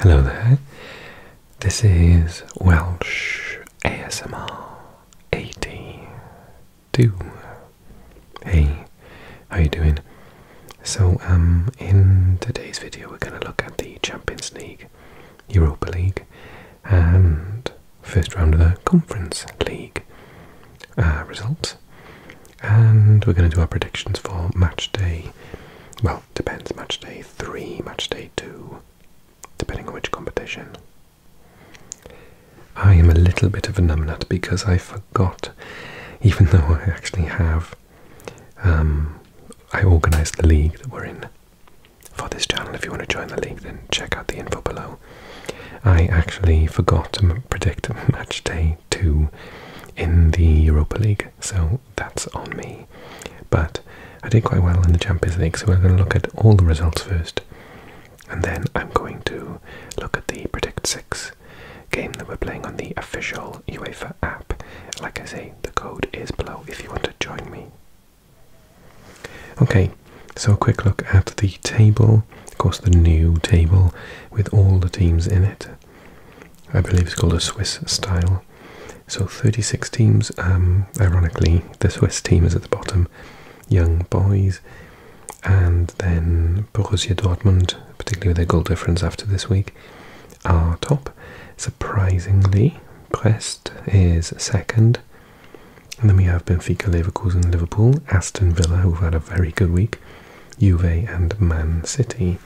Hello there, this is Welsh ASMR 82. Hey, how you doing? So, um, in today's video we're going to look at the Champions League, Europa League and first round of the Conference League uh, results. And we're going to do our predictions for match day, well, Depends match day 3, match day 2, depending on which competition. I am a little bit of a numbnut because I forgot, even though I actually have, um, I organised the league that we're in for this channel. If you want to join the league, then check out the info below. I actually forgot to predict match day 2 in the Europa League, so that's on me. But I did quite well in the Champions League, so we're going to look at all the results first. And then I'm going to look at the Predict 6 game that we're playing on the official UEFA app. Like I say, the code is below if you want to join me. Okay, so a quick look at the table. Of course, the new table with all the teams in it. I believe it's called a Swiss style. So 36 teams. Um, ironically, the Swiss team is at the bottom, Young Boys, and then Borussia Dortmund, particularly with their goal difference after this week, are top. Surprisingly, Brest is second. And then we have Benfica, Leverkusen, Liverpool, Aston Villa, who've had a very good week, Juve, and Man City.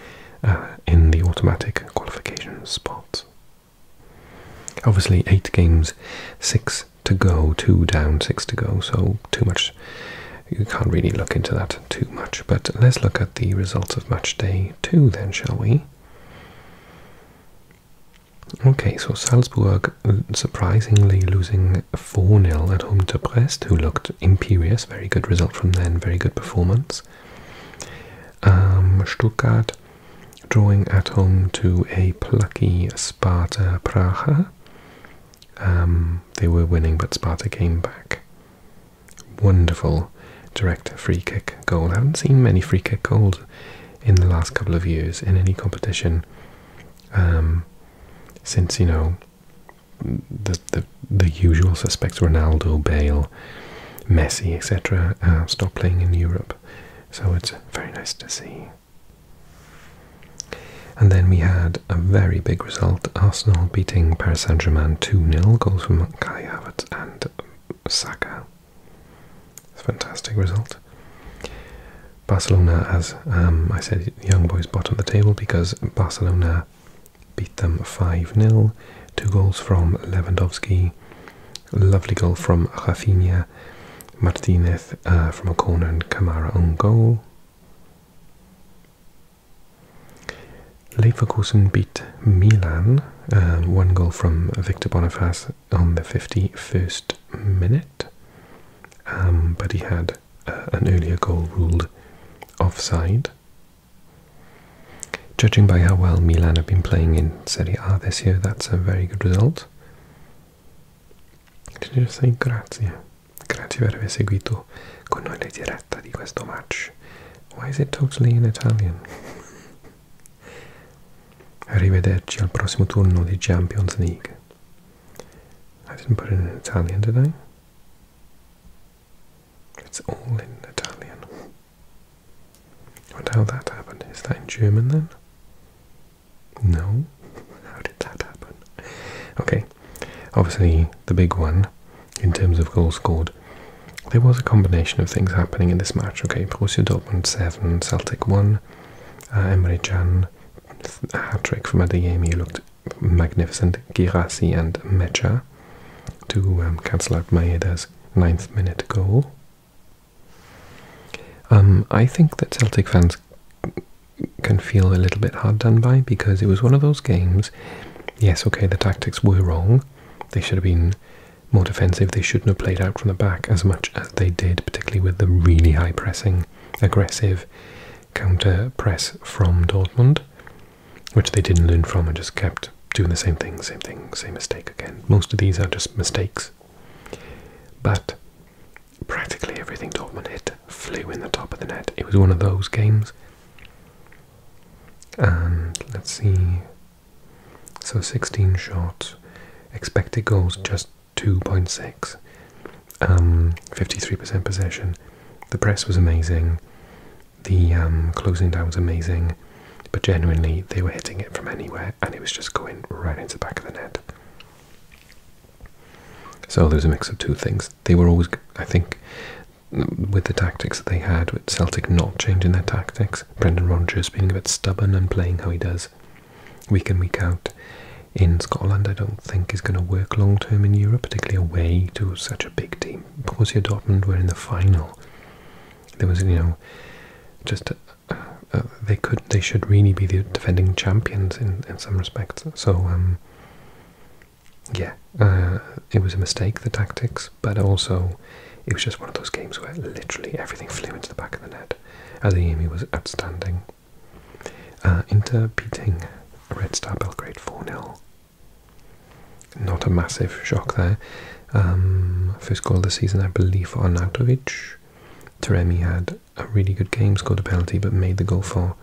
Uh, in the automatic qualification spot. Obviously, eight games, six to go, two down, six to go, so too much. You can't really look into that too much, but let's look at the results of match day two then, shall we? Okay, so Salzburg uh, surprisingly losing 4 0 at home to Brest, who looked imperious. Very good result from them, very good performance. Um, Stuttgart drawing at home to a plucky Sparta Prague. Um, they were winning, but Sparta came back. Wonderful direct free kick goal. I haven't seen many free kick goals in the last couple of years in any competition um, since, you know, the, the, usual suspects, Ronaldo, Bale, Messi, etc., uh, stop playing in Europe. So it's very nice to see. And then we had a very big result Arsenal beating Paris Saint Germain 2 0, goals from Kai Havertz and Saka. It's fantastic result. Barcelona, as um, I said, young boys bottom of the table because Barcelona beat them 5-0. Two goals from Lewandowski, lovely goal from Rafinha, Martinez uh, from a corner and Kamara on goal. Leverkusen beat Milan, uh, one goal from Victor Boniface on the 51st minute, um, but he had uh, an earlier goal ruled offside. Judging by how well Milan have been playing in Serie A this year, that's a very good result. Did you say grazie? Grazie per aver seguito con noi la diretta di questo match. Why is it totally in Italian? Arrivederci al prossimo turno di Champions League. I didn't put it in Italian, did I? It's all in Italian. I wonder how that happened. Is that in German then? No? How did that happen? Okay, obviously the big one in terms of goals scored. There was a combination of things happening in this match. Okay, Borussia Dortmund 7, Celtic 1. Uh, Emre Can, hat-trick from He looked magnificent. Girassi and Mecha to um, cancel out Maeda's ninth minute goal. Um, I think that Celtic fans can feel a little bit hard done by because it was one of those games. Yes, okay, the tactics were wrong. They should have been more defensive. They shouldn't have played out from the back as much as they did, particularly with the really high pressing, aggressive counter press from Dortmund which they didn't learn from and just kept doing the same thing, same thing, same mistake again. Most of these are just mistakes. But practically everything Dortmund hit flew in the top of the net. It was one of those games. And let's see. So 16 shots, expected goals just 2.6, 53% um, possession. The press was amazing. The um, closing down was amazing, but genuinely they were hitting it from anywhere and it was just going right into the back of the net. So there was a mix of two things. They were always, I think, with the tactics that they had, with Celtic not changing their tactics, Brendan Rodgers being a bit stubborn and playing how he does week in, week out in Scotland, I don't think is going to work long term in Europe, particularly away to such a big team game. Borussia Dortmund were in the final. There was, you know, just uh, uh, they could, they should really be the defending champions in some respects. So, um, yeah, uh, it was a mistake the tactics, but also it was just one of those games where literally everything flew into the back of the net. Adeyemi was outstanding. Inter beating Red Star Belgrade 4 0 not a massive shock there. Um, first goal of the season, I believe, for Arnautovic. Taremi had a really good game, scored a penalty, but made the goal for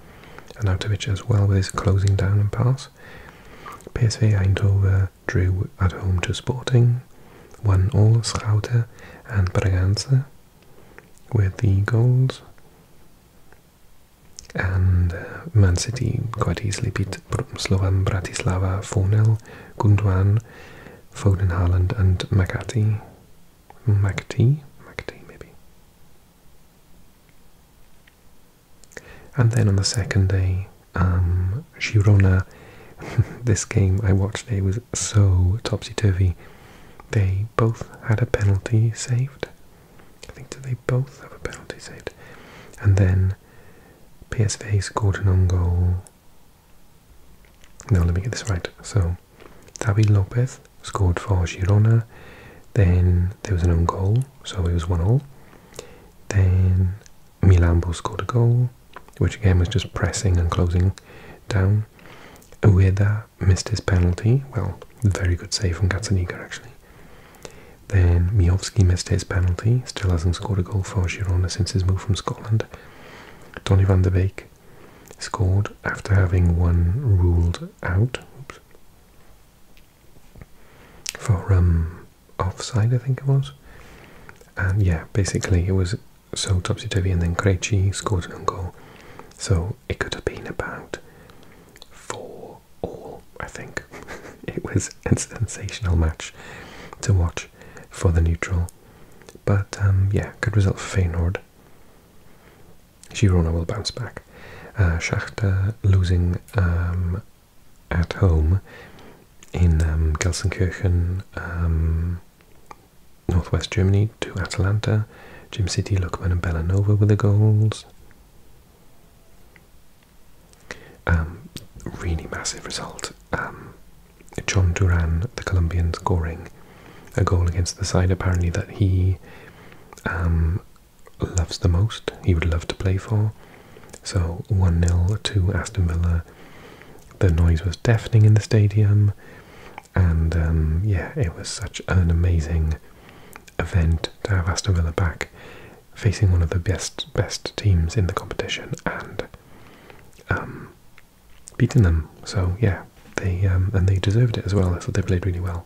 Arnautovic as well with his closing down and pass. PSV Eindhoven drew at home to Sporting, won all Schouten and Braganza with the goals and uh, Man City quite easily beat Slovan Bratislava 4-0, Gunduan, Foden Haaland and Makati, Makati, Makati maybe. And then on the second day, um, Girona, this game I watched today was so topsy-turvy. They both had a penalty saved. I think do they both have a penalty saved? And then PSV scored an own goal. No, let me get this right. So Tabi Lopez scored for Girona. Then there was an own goal, so it was one all. Then Milambo scored a goal, which again was just pressing and closing down. Ueda missed his penalty. Well, very good save from Gazzaniga actually. Then Miovski missed his penalty, still hasn't scored a goal for Girona since his move from Scotland. Tony van de Beek scored after having one ruled out for um, offside, I think it was. And yeah, basically it was so topsy-turvy and then Krejci scored an own goal. So it could have been about four all, I think. it was a sensational match to watch for the neutral. But um, yeah, good result for Feyenoord. Girona will bounce back. Uh, losing um, at home in um, Gelsenkirchen, northwest Germany, to Atalanta. Jim City, Lukman and Belanova with the goals. Um, really massive result. Um, John Duran, the Colombian, scoring a goal against the side apparently that he um, loves the most, he would love to play for. So 1 0 to Aston Villa. The noise was deafening in the stadium, and yeah, it was such an amazing event to have Aston Villa back facing one of the best best teams in the competition and um, beating them. So yeah, they um, and they deserved it as well. I thought they played really well.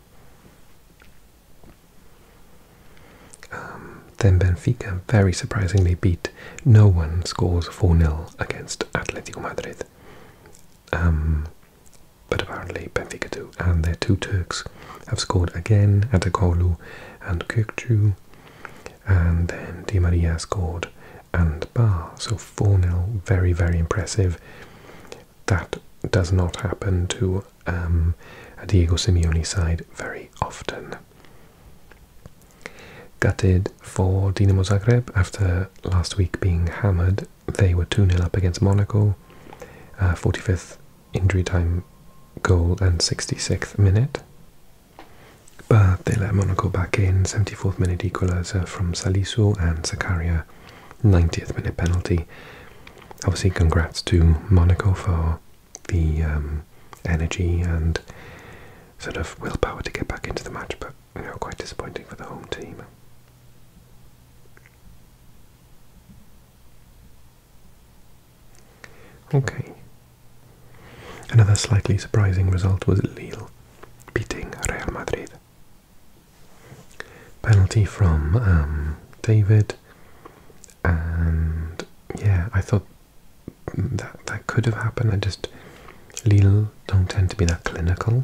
Um, then Benfica very surprisingly beat. No one scores four 0 against Atletico Madrid. Um, but apparently Benfica do, and they're two Turks have scored again, at Atakolu and Kirkju. And then Di Maria scored and Bar. So 4 0, very, very impressive. That does not happen to um, a Diego Simeone side very often. Gutted for Dinamo Zagreb after last week being hammered. They were 2 0 up against Monaco. 45th uh, injury time goal and 66th minute. But they let Monaco back in, 74th minute equaliser from Salisu and Zakaria, 90th minute penalty. Obviously, congrats to Monaco for the um, energy and sort of willpower to get back into the match, but quite disappointing for the home team. Okay. Another slightly surprising result was Lille beating Real Madrid. Penalty from um, David, and yeah, I thought that that could have happened. I just Lille don't tend to be that clinical,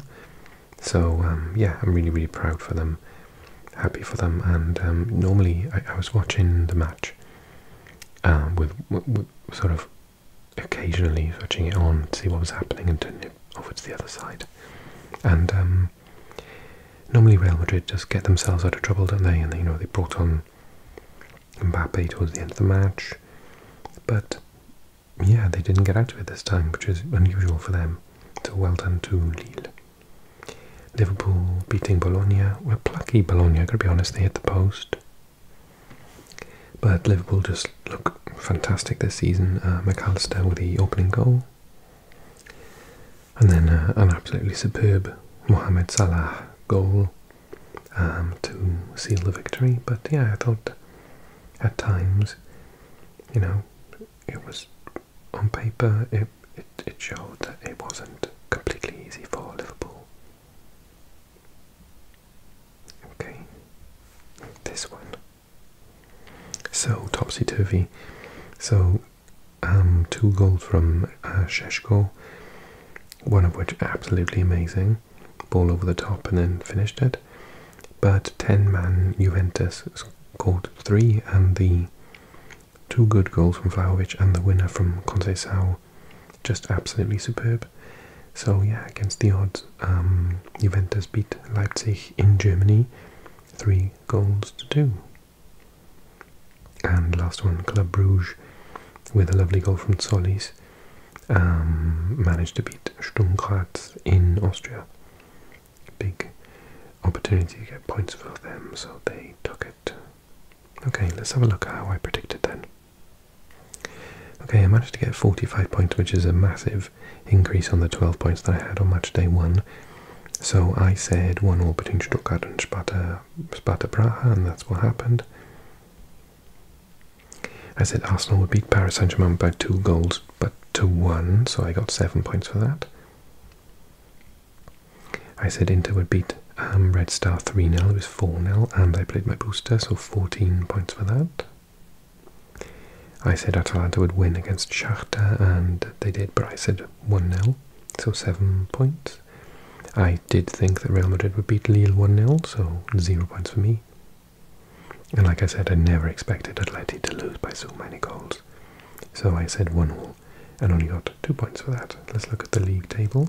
so um, yeah, I'm really really proud for them happy for them. And um, normally, I, was watching the match um, with, sort of occasionally switching it on to see what was happening and turning it over to the other side. And um, normally, Real Madrid just get themselves out of trouble, don't they? And they, you know they brought on Mbappe towards the end of the match, but yeah, they didn't get out of it this time, which is unusual for them. So well done to Lille. Liverpool beating Bologna were plucky Bologna, gotta be honest, they hit the post. But Liverpool just look fantastic this season. Uh, McAllister with the opening goal. And then uh, an absolutely superb Mohamed Salah goal um, to seal the victory. But yeah, I thought at times, you know, it was on paper, it, it, showed that it wasn't completely easy for Liverpool. Okay, this one. So, topsy turvy. So, um, two goals from uh, Sheshko, one of which absolutely amazing, ball over the top and then finished it. But 10 man Juventus scored three, and the two good goals from Vlahovic and the winner from Conceição, just absolutely superb. So yeah, against the odds, um, Juventus beat Leipzig in Germany, three goals to two. And last one, Club Bruges, with a lovely goal from Solis, um, managed to beat Sturm Graz in Austria, big opportunity to get points for them, so they took it. Okay, let's have a look at how I predicted then. Okay, I managed to get 45 points, which is a massive increase on the 12 points that I had on match day one. So I said 1 all between Stuttgart and Sparta, Sparta Praha, and that's what happened. I said Arsenal would beat Paris Saint Germain by two goals, but to one, so I got seven points for that. I said Inter would beat um, Red Star 3 0, it was 4 0, and I played my booster, so 14 points for that. I said Atalanta would win against Shakhtar, and they did, but I said 1 0, so 7 points. I did think that Real Madrid would beat Lille 1 0, so 0 points for me. And like I said, I never expected Atalanta to lose by so many goals. So I said 1 all and only got two points for that. Let's look at the league table.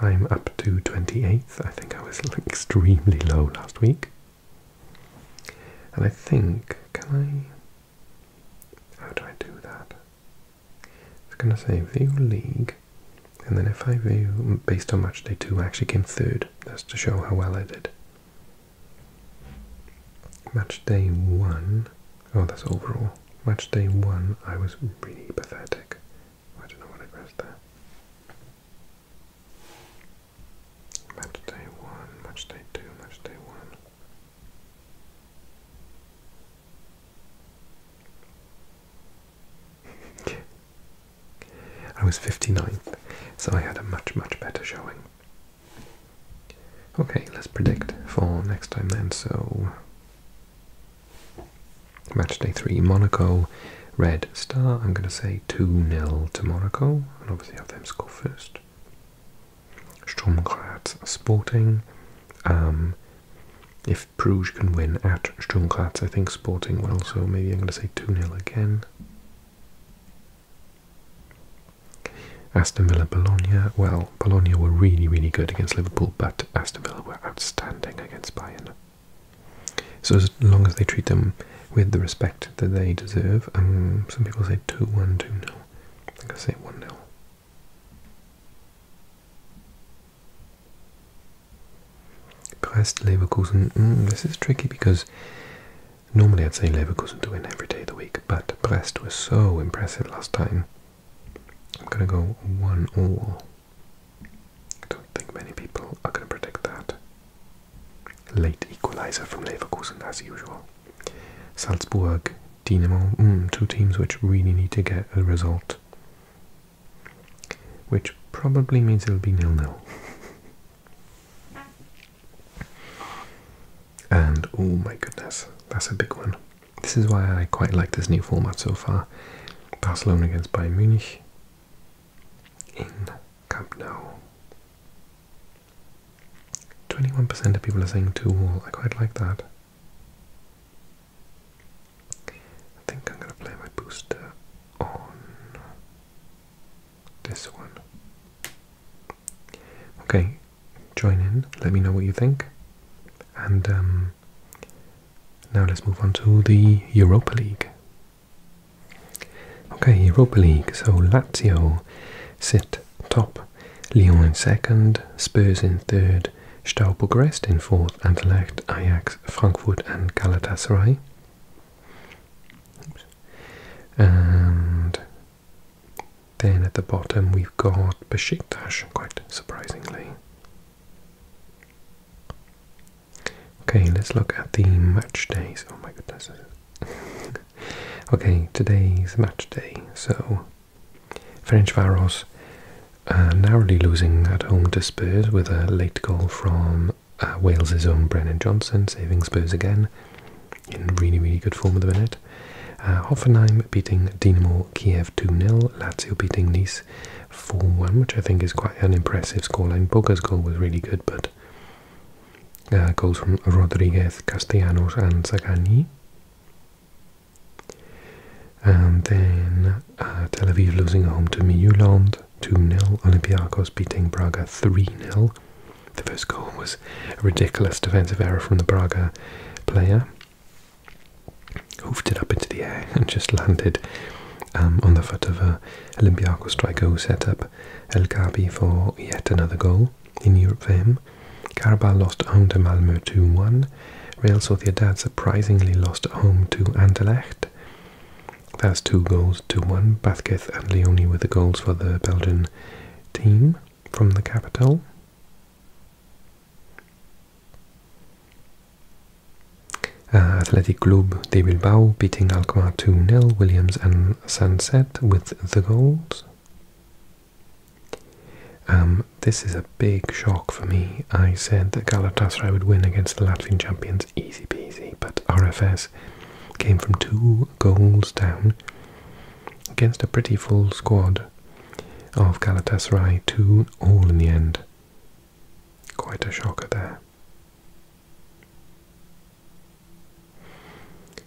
I'm up to 28th. I think I was extremely low last week. And I think, can I... How do I do that? I was going to say view league, and then if I view based on match day 2, I actually came third. That's to show how well I did. Match day one, oh, that's overall. Match day one, I was really pathetic. I don't know what Match day one, match day two, match day one. I was 59th, so I had a much, much better showing. Okay, let's predict for next time then. So, match day three, Monaco, red star. I'm going to say 2 0 to Monaco, and obviously have them score first. Sturm Graz Sporting. Um, if Bruges can win at Sturm Graz, I think Sporting will, so maybe I'm going to say 2 0 again. Aston Villa, Bologna. Well, Bologna were really, really good against Liverpool, but Aston Villa were outstanding against Bayern. So as long as they treat them with the respect that they deserve, um, some people say 2-1, 2-0. I think I say 1-0. Leverkusen. Mm, this is tricky because Normally I'd say Leverkusen to win every day of the week, but Brest was so impressive last time. I'm going to go one all. I don't think many people are going to predict that. Late equaliser from Leverkusen as usual. Salzburg, Dinamo, hmm, two teams which really need to get a result. Which probably means it'll be nil-nil. And oh my goodness, that's a big one. This is why I quite like this new format so far. Barcelona against Bayern Munich in Camp Nou. 21% of people are saying 2 all. I quite like that. I think I'm going to play my booster on this one. Okay, join in, let me know what you think. And um, now let's move on to the Europa League. Okay, Europa League. So Lazio sit top, Lyon in second, Spurs in third, Stau Bucharest in fourth, Anderlecht, Ajax, Frankfurt, and Galatasaray. And then at the bottom we've got Besiktas, quite surprisingly. Okay, let's look at the match days. Oh my goodness. okay, today's match day. So, French Varos uh, narrowly losing at home to Spurs with a late goal from uh, Wales's own Brennan Johnson, saving Spurs again in really, really good form at the minute. Uh, Hoffenheim beating Dinamo Kiev 2-0, Lazio beating Nice 4-1, which I think is quite an impressive scoreline. Boga's goal was really good, but uh, goals from Rodriguez, Castellanos and Zagani. And then uh, Tel Aviv losing home to Miuland 2-0, Olympiacos beating Braga 3-0, the first goal was a ridiculous defensive error from the Braga player. Hoofed it up into the air and just landed um, on the foot of a Olympiacos striker who set up El Kabi for yet another goal in Europe for him. Carabao lost home to Malmö 2 1. Real Sociedad surprisingly lost home to Anderlecht. That's two goals to one. Bathketh and Leone were the goals for the Belgian team from the capital. Uh, Athletic Club de Bilbao beating Alkmaar 2 nil Williams and Sunset with the goals. Um, this is a big shock for me. I said that Galatasaray would win against the Latvian champions, easy peasy, but RFS came from two goals down against a pretty full squad of Galatasaray 2 all in the end. Quite a shocker there.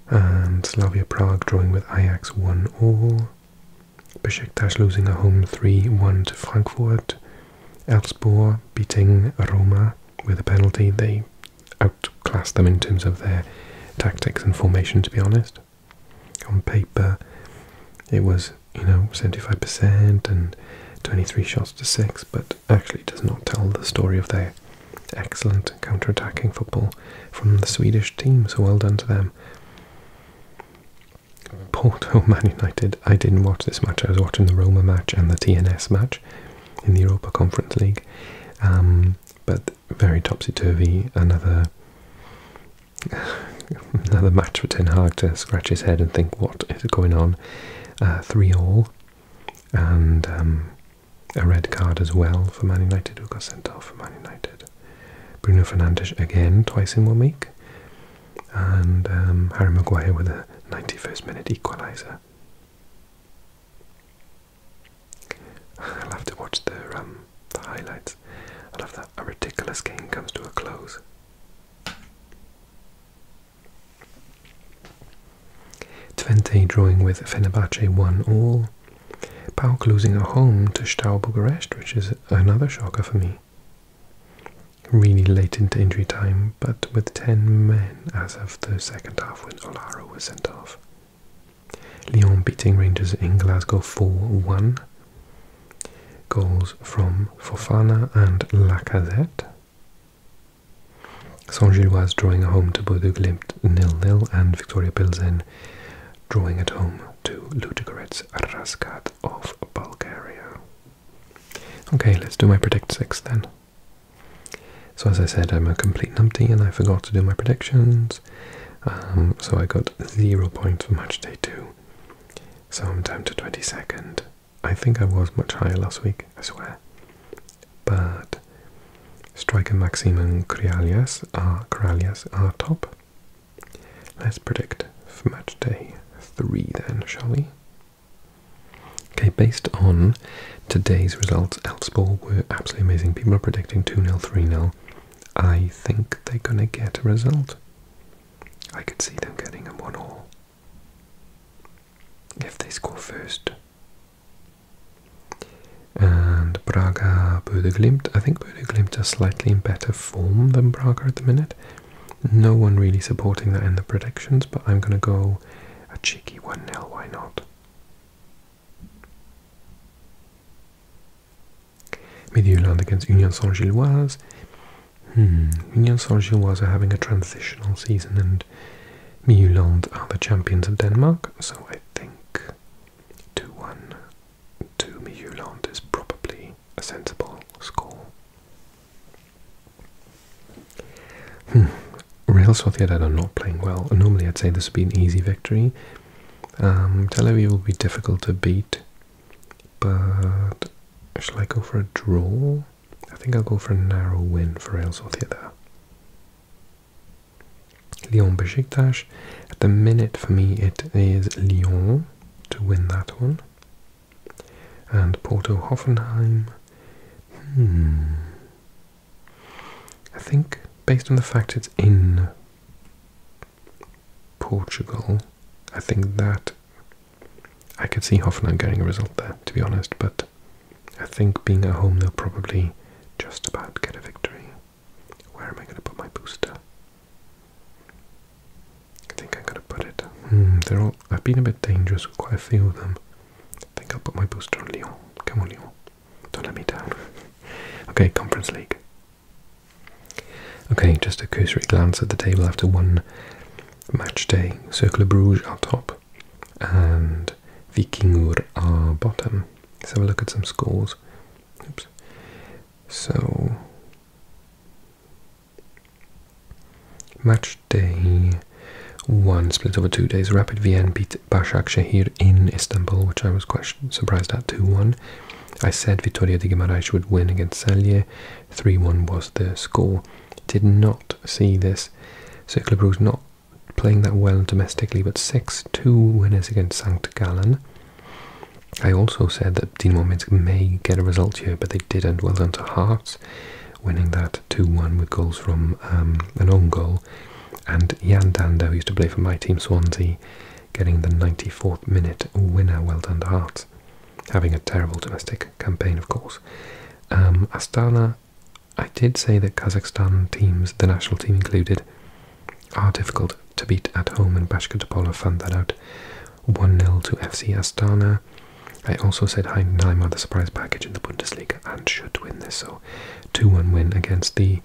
And Slavia Prague drawing with Ajax 1 all. Besiktas losing a home 3-1 to Frankfurt. Elfsborg beating Roma with a penalty. They outclass them in terms of their tactics and formation, to be honest. On paper, it was, you know, 75% and 23 shots to 6, but actually does not tell the story of their excellent counter-attacking football from the Swedish team, so well done to them. Porto Man United, I didn't watch this match, I was watching the Roma match and the TNS match in the Europa Conference League. Um, but very topsy turvy. Another another match for Ten Hag to scratch his head and think what is going on. Uh, three all, and um, a red card as well for Man United, who got sent off for Man United. Bruno Fernandes again twice in one week, and um, Harry Maguire with a 91st minute equaliser. I'll have to watch um, the highlights. I love that a ridiculous game comes to a close. Twente drawing with Fenerbahce one all. Pauk losing at home to Stau Bucharest, which is another shocker for me. Really late into injury time, but with 10 men as of the second half when Olara was sent off. Lyon beating Rangers in Glasgow 4-1. Goals from Fofana and Lacazette. Saint-Gilloise drawing at home to Bordeaux Glimt nil 0 and Victoria Pilsen drawing at home to Ludogorets Raskat of Bulgaria. Okay, let's do my predict six then. So as I said, I'm a complete numpty and I forgot to do my predictions. Um, so I got zero points for match day two. So I'm down to 22nd. I think I was much higher last week, I swear. But Striker Maxim and are, Corralias are top. Let's predict for match day three then, shall we? Okay, based on Today's results, Elfsborg were absolutely amazing. People are predicting 2 0, 3 0. I think they're going to get a result. I could see them getting a 1 all if they score first. And Braga, Bodeglimt. I think Bodeglimt are slightly in better form than Braga at the minute. No one really supporting that in the predictions, but I'm going to go a cheeky 1 0, why not? against Union Saint-Gilloise. Hmm, Union Saint-Gilloise are having a transitional season and Midtjylland are the champions of Denmark, so I think 2-1 to Midtjylland is probably a sensible score. Hmm, Real Sociedad are not playing well. Normally, I'd say this would be an easy victory. Um, will be difficult to beat, but shall I go for a draw? I think I'll go for a narrow win for Real Sociedad. Lyon Besiktas. At the minute, for me, it is Lyon to win that one. And Porto Hoffenheim. Hmm. I think, based on the fact it's in Portugal, I think that I could see Hoffenheim getting a result there, to be honest, but I think being at home, they'll probably just about get a victory. Where am I going to put my booster? I think I'm going to put it. Hmm, they're all. I've been a bit dangerous with quite a few of them. I think I'll put my booster on Lyon. Come on, Lyon. Don't let me down. okay, Conference League. Okay, just a cursory glance at the table after one match day. Circle of Bruges are top, and Vikingur are bottom. Let's have a look at some scores. Oops. So, match day one split over two days. Rapid Vienna beat beat Başakşehir in Istanbul, which I was quite surprised at, 2-1. I said Vitoria de Guimarães would win against Celje, 3-1 was the score. Did not see this. Circle Bruges not playing that well domestically, but 6-2 winners against St. Gallen. I also said that Dinamo Minsk may get a result here, but they didn't. Well done to Hearts, winning that 2 1 with goals from um, an own goal. And Jan Dando, who used to play for my team Swansea, getting the 94th minute winner. Well done to Hearts. Having a terrible domestic campaign, of course. Um, Astana, I did say that Kazakhstan teams, the national team included, are difficult to beat at home, and Bashkirtopolo found that out. 1 0 to FC Astana. I also said Heidenheim are the surprise package in the Bundesliga and should win this, so 2 1 win against the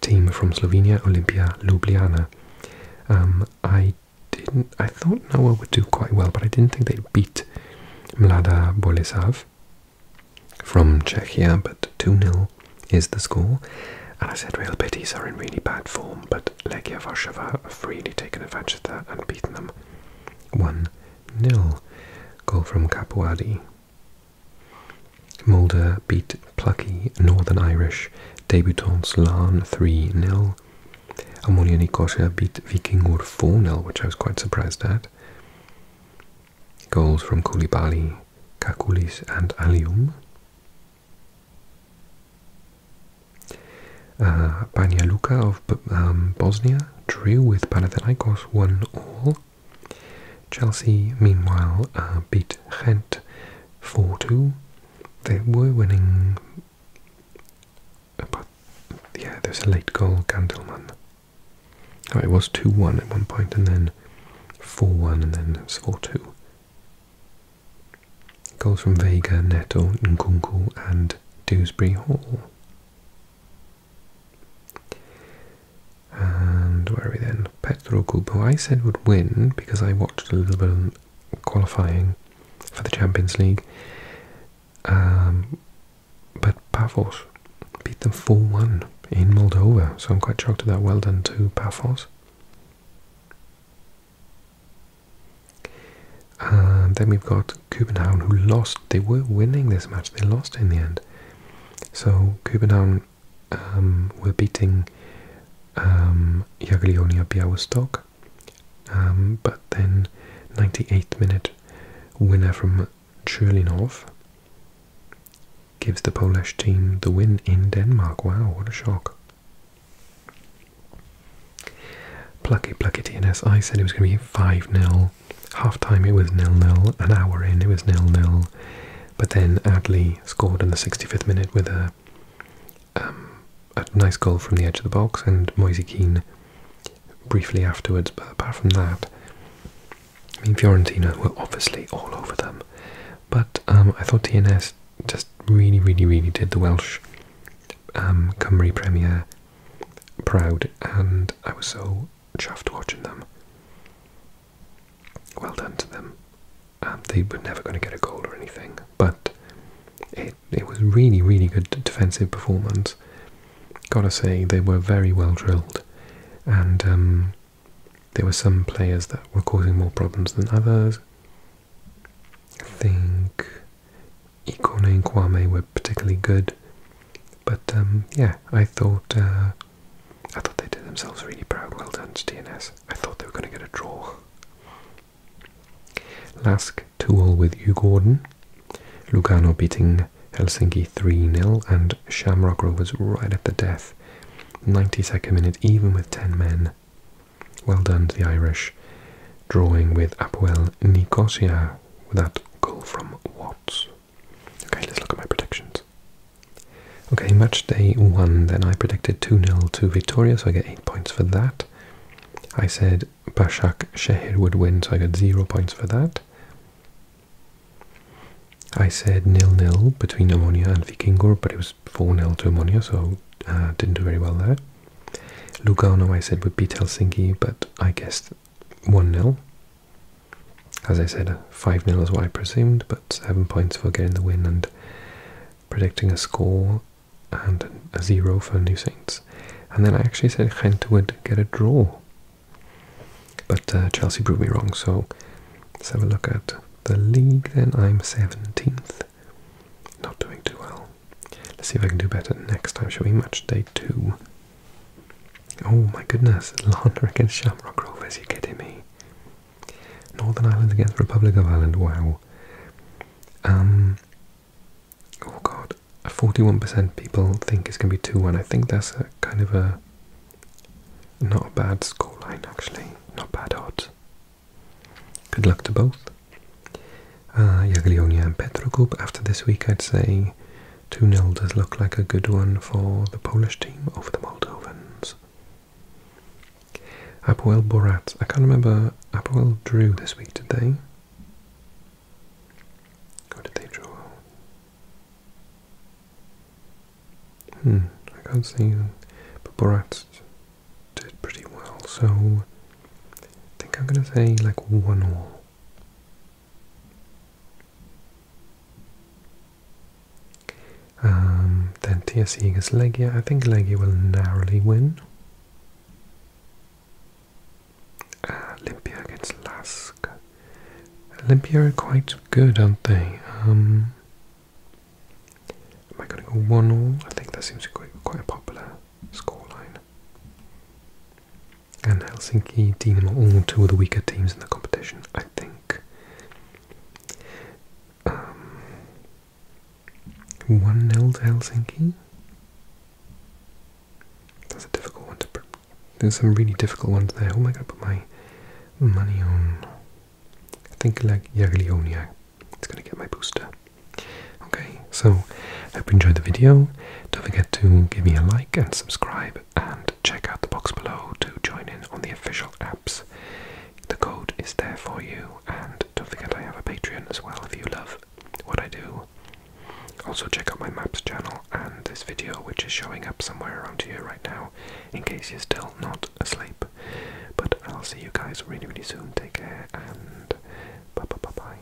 team from Slovenia, Olimpia Ljubljana. Um, I didn't. I thought Noah would do quite well, but I didn't think they'd beat Mlada Boleslav from Czechia, but 2 0 is the score. And I said Real Betis are in really bad form, but Legia Warsaw have really taken advantage of that and beaten them 1 0. Goal from Capuadi. Mulder beat plucky Northern Irish debutants Larn 3 nil. Amoniani Kosher beat Vikingur 4 nil, which I was quite surprised at. Goals from Koulibaly, Kakulis and Alium. Uh, Luka of um, Bosnia drew with Panathinaikos 1 all. Chelsea, meanwhile, uh, beat Gent, 4 2. They were winning, uh, but yeah, there's a late goal, Gandelman. Oh, it was 2 1 at one point, and then 4 1, and then 4 2. Goals from Vega, Neto, Nkunku, and Dewsbury Hall. And where are we then? Petro Group, I said would win because I watched a little bit of qualifying for the Champions League. Um, but Pafos beat them 4 1 in Moldova, so I'm quite shocked at that. Well done to Pafos. And then we've got Copenhagen who lost. They were winning this match, they lost in the end. So Copenhagen um, were beating um, Jagiellonia Białystok, um, but then 98th minute winner from Churlinov gives the Polish team the win in Denmark. Wow, what a shock. Plucky, plucky TNS. I said it was going to be 5 0 Half time it was nil nil. An hour in it was nil nil. But then Adley scored in the 65th minute with a, um, a nice goal from the edge of the box, and Moise Keane briefly afterwards. But apart from that, I mean Fiorentina were obviously all over them. But um, I thought TNS just really, really, really did the Welsh um, Cymru Premier proud, and I was so chuffed watching them. Well done to them. Um, they were never going to get a goal or anything, but it it was really really good defensive performance. Gotta say they were very well drilled, and um, there were some players that were causing more problems than others. I think Ikone and Kwame were particularly good. But um, yeah, I thought uh, I thought they did themselves really proud. Well done to DNS. I thought they were going to get a draw. Lask tool with Hugh Gordon. Lugano beating Helsinki 3-0 and Shamrock Rovers right at the death. 92nd minute, even with 10 men. Well done to the Irish. Drawing with Apoel Nicosia with that goal from Watts. Okay, let's look at my predictions. Okay, match day one, then I predicted 2 0 to Victoria, so I get 8 points for that. I said Bashak Sheher would win, so I got 0 points for that. I said nil nil between Ammonia and Vikingor, but it was 4 0 to Ammonia, so uh, didn't do very well there. Lugano, I said, would beat Helsinki, but I guessed 1 0. As I said, 5 0 is what I presumed, but 7 points for getting the win and predicting a score and a 0 for New Saints. And then I actually said Gent would get a draw. But uh, Chelsea proved me wrong, so let's have a look at the league then. I'm 17th. Not doing too well. Let's see if I can do better next time, Shall we? match day 2. Oh my goodness, Lana against Shamrock Rovers, you kidding me? Northern Ireland against Republic of Ireland, wow. Um, oh god, 41% people think it's going to be 2-1. I think that's a kind of a, not a bad scoreline actually, not bad odds. Good luck to both. Uh, and Petrogroup after this week, I'd say 2-0 does look like a good one for the Polish team over the Moldovans. Apoel Borat. I can't remember. Apoel drew this week, did they? Or did they draw? Hmm, I can't see. But Borat did pretty well, so I think I'm going to say like 1 all. Um, then TSC against Legia. I think Legia will narrowly win. Uh, Olympia against Lask. Olympia are quite good, aren't they? Um, am I going to go 1 all? I think that seems quite, quite a popular scoreline and Helsinki Dynamo, all two of the weaker teams in the competition, I think. Um, 1 nil to Helsinki? That's a difficult one to. There's some really difficult ones there. Who am I going to put my money on? I think like Jagiellonia It's going to get my booster. Okay, so I hope you enjoyed the video. Don't forget to give me a like and subscribe and check out the box below to join in on the official apps. The code is there for you, and don't forget I have a Patreon as well if you love what I do. Also, check out my maps channel and this video, which is showing up somewhere around here right now, in case you're still not asleep. But I'll see you guys really, really soon. Take care and bye bye bye bye.